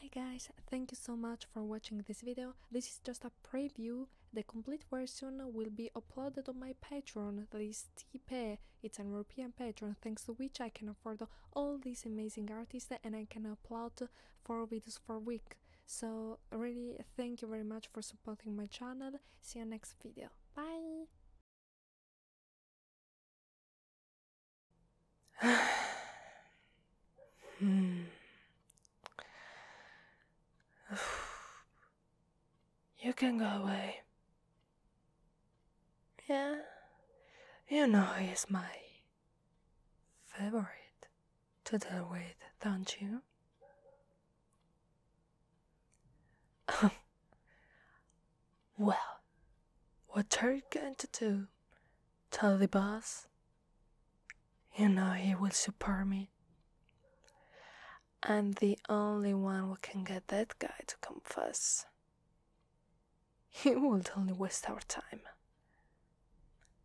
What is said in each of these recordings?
Hi guys, thank you so much for watching this video, this is just a preview, the complete version will be uploaded on my Patreon, This is Tipeee, it's an European Patreon, thanks to which I can afford all these amazing artists and I can upload 4 videos per week, so really thank you very much for supporting my channel, see you next video, bye! You can go away. Yeah, you know he's my favorite to deal with, don't you? Well, what are you going to do? Tell the boss? You know he will support me. I'm the only one who can get that guy to confess. He would only waste our time.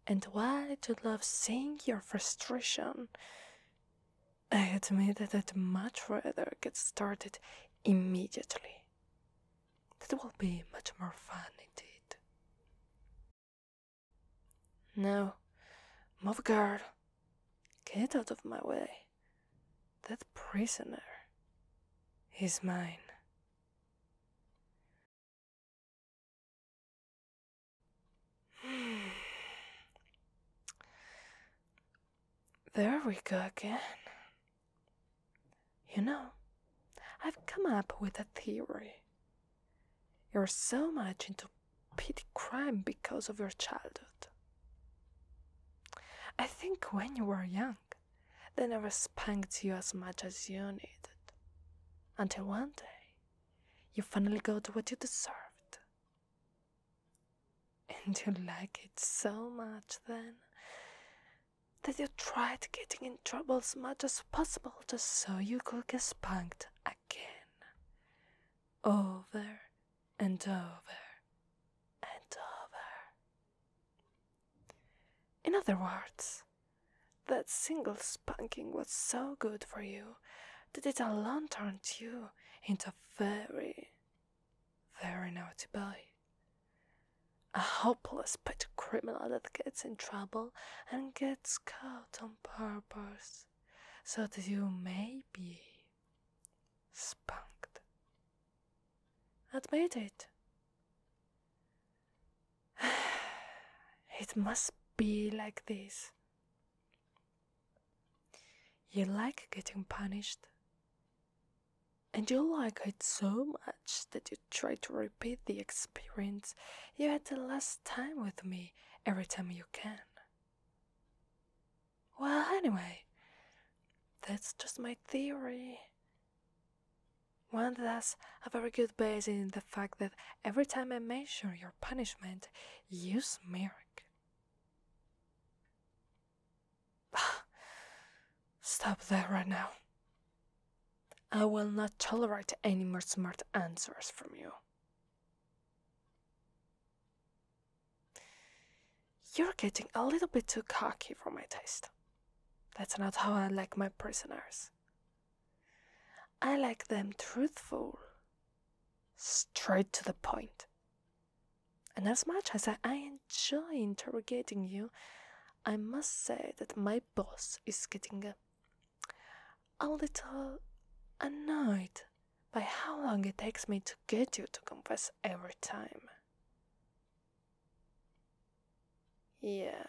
And why do you love seeing your frustration, I admit that I'd much rather get started immediately. That will be much more fun indeed. Now, move guard. Get out of my way. That prisoner is mine. There we go again. You know, I've come up with a theory. You're so much into petty crime because of your childhood. I think when you were young, they never spanked you as much as you needed. Until one day, you finally got what you deserved. And you like it so much then that you tried getting in trouble as much as possible just so you could get spanked again. Over and over and over. In other words, that single spanking was so good for you that it alone turned you into a very very naughty boy. A helpless pet criminal that gets in trouble and gets caught on purpose so that you may be spanked. Admit it. it must be like this. You like getting punished, and you like it so much that you try to repeat the experience you had the last time with me every time you can. Well, anyway, that's just my theory. One that has a very good basis in the fact that every time I measure your punishment, you smirk. Stop there right now. I will not tolerate any more smart answers from you. You're getting a little bit too cocky for my taste. That's not how I like my prisoners. I like them truthful, straight to the point, and as much as I enjoy interrogating you, I must say that my boss is getting a little annoyed by how long it takes me to get you to confess every time. Yeah.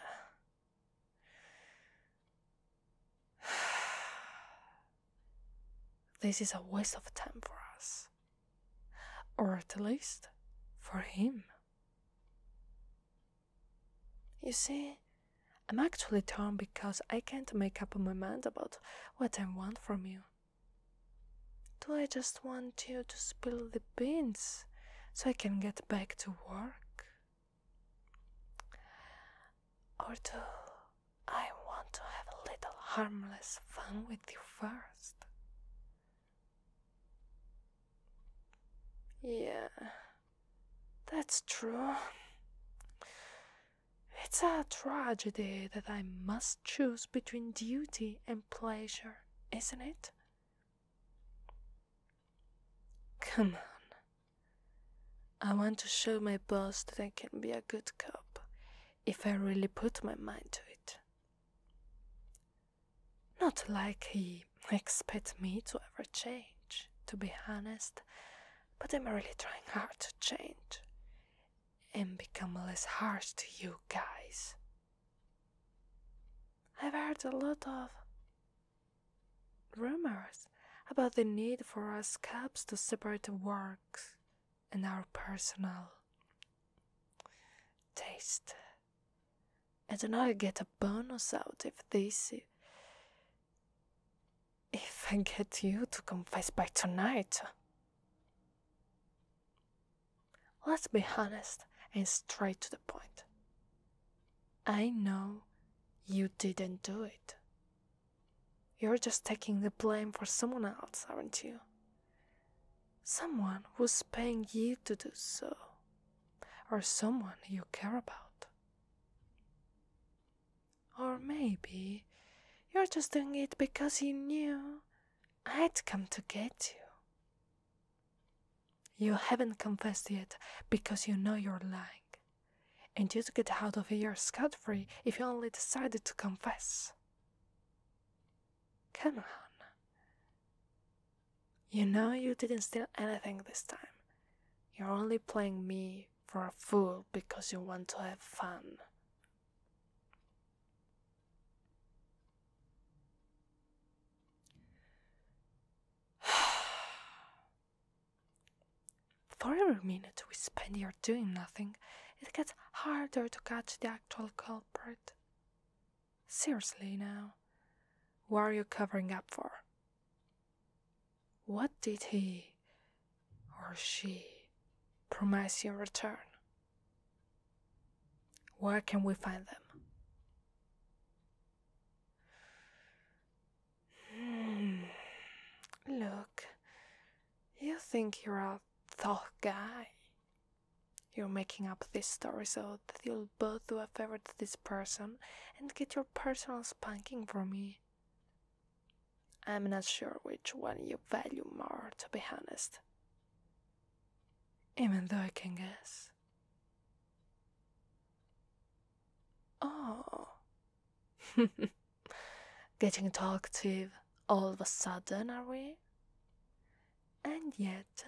This is a waste of time for us or at least for him. You see, I'm actually torn because I can't make up my mind about what I want from you. Do I just want you to spill the beans so I can get back to work? Or do I want to have a little harmless fun with with you first. Yeah, that's true. It's a tragedy that I must choose between duty and pleasure, isn't it? Come on. I want to show my boss that I can be a good cop if I really put my mind to it. Not like he expects me to ever change, to be honest, but I'm really trying hard to change and become less harsh to you guys. I've heard a lot of rumors about the need for us cops to separate works and our personal taste. I do I get a bonus out if this. If I get you to confess by tonight. Let's be honest and straight to the point. I know you didn't do it. You're just taking the blame for someone else, aren't you? Someone was paying you to do so, or someone you care about. Or maybe you're just doing it because you knew I'd come to get you. You haven't confessed yet because you know you're lying, and you'd get out of here scot free if you only decided to confess. Come on. You know you didn't steal anything this time. You're only playing me for a fool because you want to have fun. For every minute we spend doing nothing, it gets harder to catch the actual culprit. Seriously now, who are you covering up for? What did he or she promise you in return? Where can we find them? Hmm. Look, you think you're up thought guy. You're making up this story so that you'll both do a favor to this person and get your personal spanking from me. I'm not sure which one you value more, to be honest. Even though I can guess. Oh. Getting talkative all of a sudden, are we? And yet,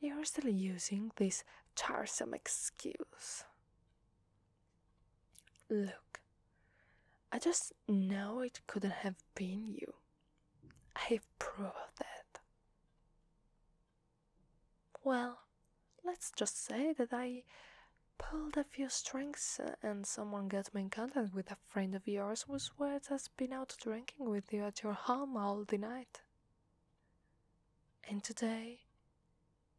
you're still using this tiresome excuse. Look, I just know it couldn't have been you. I prove of that. Well, let's just say that I pulled a few strings uh, and someone got me in contact with a friend of yours who's swears has been out drinking with you at your home all the night. And today,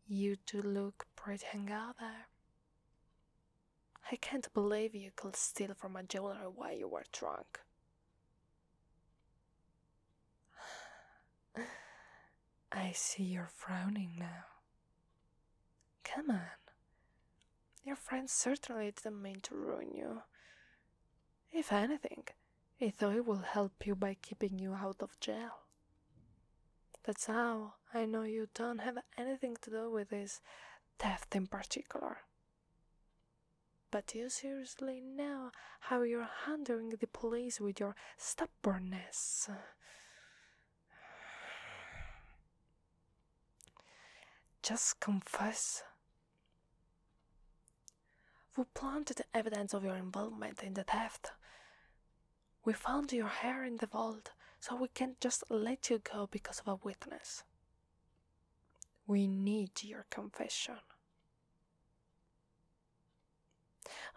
you two look pretty hungover. I can't believe you could steal from a jeweler while you were drunk. I see you're frowning now. Come on. Your friends certainly didn't mean to ruin you. If anything, he thought it would help you by keeping you out of jail. That's how I know you don't have anything to do with this theft in particular. But you seriously know how you're handling the police with your stubbornness? Just confess. We planted evidence of your involvement in the theft. We found your hair in the vault, so we can't just let you go because of a witness. We need your confession.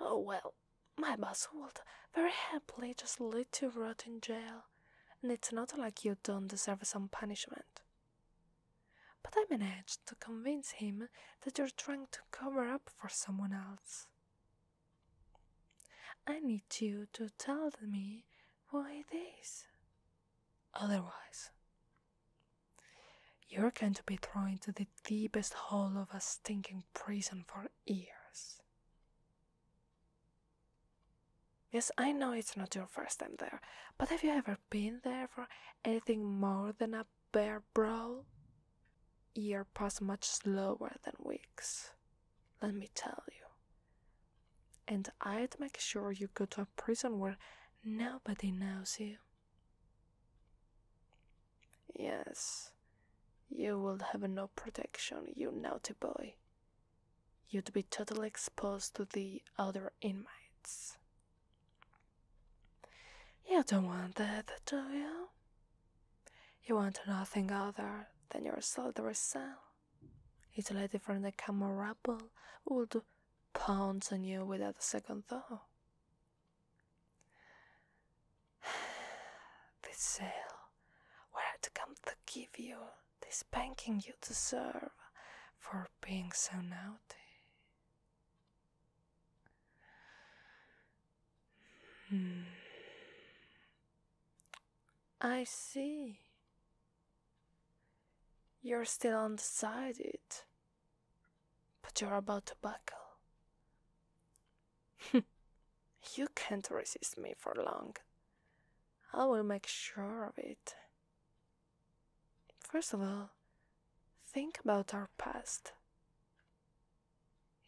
Oh well, my boss would very happily just let you rot in jail, and it's not like you don't deserve some punishment. But I managed to convince him that you're trying to cover up for someone else. I need you to tell me who it is. Otherwise, you're going to be thrown into the deepest hole of a stinking prison for years. Yes, I know it's not your first time there, but have you ever been there for anything more than a bare brawl? Year passed much slower than weeks, let me tell you. And I'd make sure you go to a prison where nobody knows you. Yes, you will have no protection, you naughty boy. You'd be totally exposed to the other inmates. You don't want that, do you? You want nothing other than your solitary cell. It's lady from the camera rabble would pounce on you without a second thought. This sale, where I had come to give you this spanking you deserve for being so naughty. Hmm. I see. You're still undecided but you're about to buckle. you can't resist me for long. I will make sure of it. First of all, think about our past.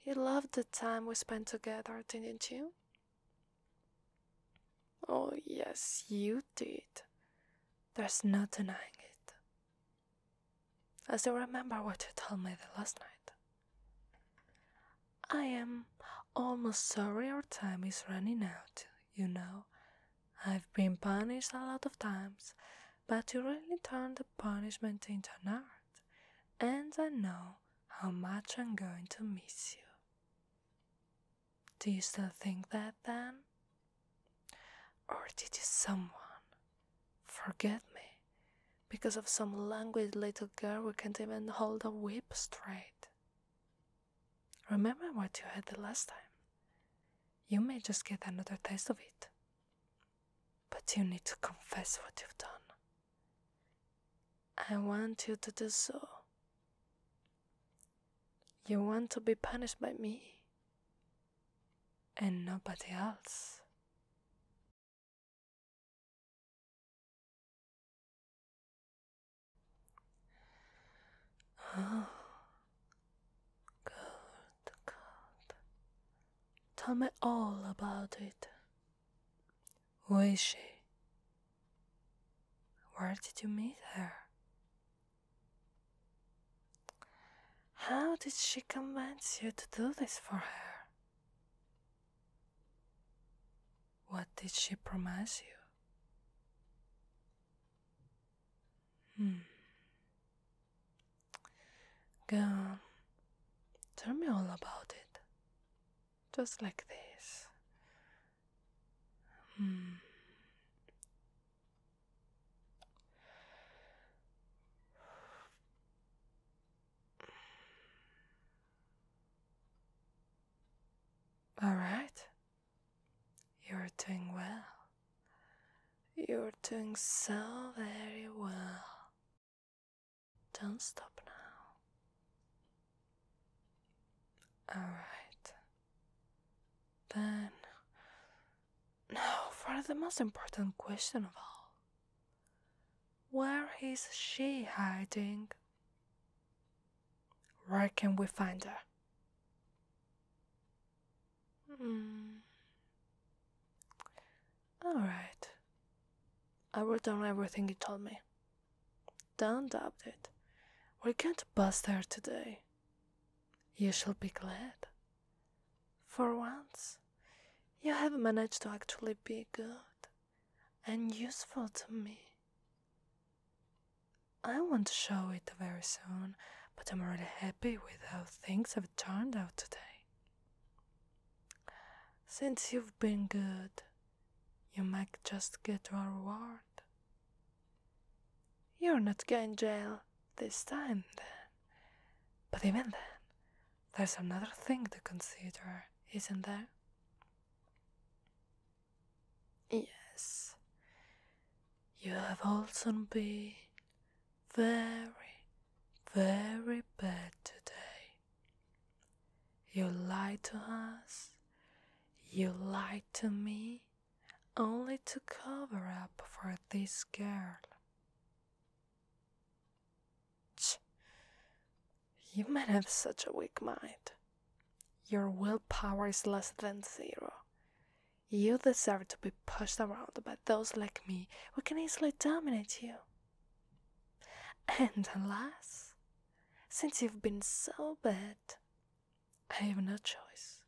You loved the time we spent together, didn't you? Oh, yes, you did. There's no denying it. I still remember what you told me the last night. I am almost sorry our time is running out, you know. I've been punished a lot of times, but you really turned the punishment into an art, and I know how much I'm going to miss you. Do you still think that then? Or did you someone Forget me because of some languid little girl who can't even hold a whip straight. Remember what you had the last time. You may just get another taste of it. But you need to confess what you've done. I want you to do so. You want to be punished by me and nobody else. Oh, good, good. Tell me all about it. Who is she? Where did you meet her? How did she convince you to do this for her? What did she promise you? Hmm. Go on. Tell me all about it. Just like this. Hmm. All right. You're doing well. You're doing so very well. Don't stop now. All right. Then now for the most important question of all. Where is she hiding? Where can we find her? Mm. Alright. I wrote down everything you told me. Don't doubt it. We are going to bust her today. You shall be glad. For once, you have managed to actually be good and useful to me. I want to show it very soon, but I'm really happy with how things have turned out today. Since you've been good, you might just get your reward. You're not going jail this time then. But even then, there's another thing to consider, isn't there? Yes, you have also been very, very bad today. You lied to us, you lied to me, only to cover up for this girl. You men have such a weak mind. Your willpower is less than zero. You deserve to be pushed around by those like me who can easily dominate you. And alas, since you've been so bad, I have no choice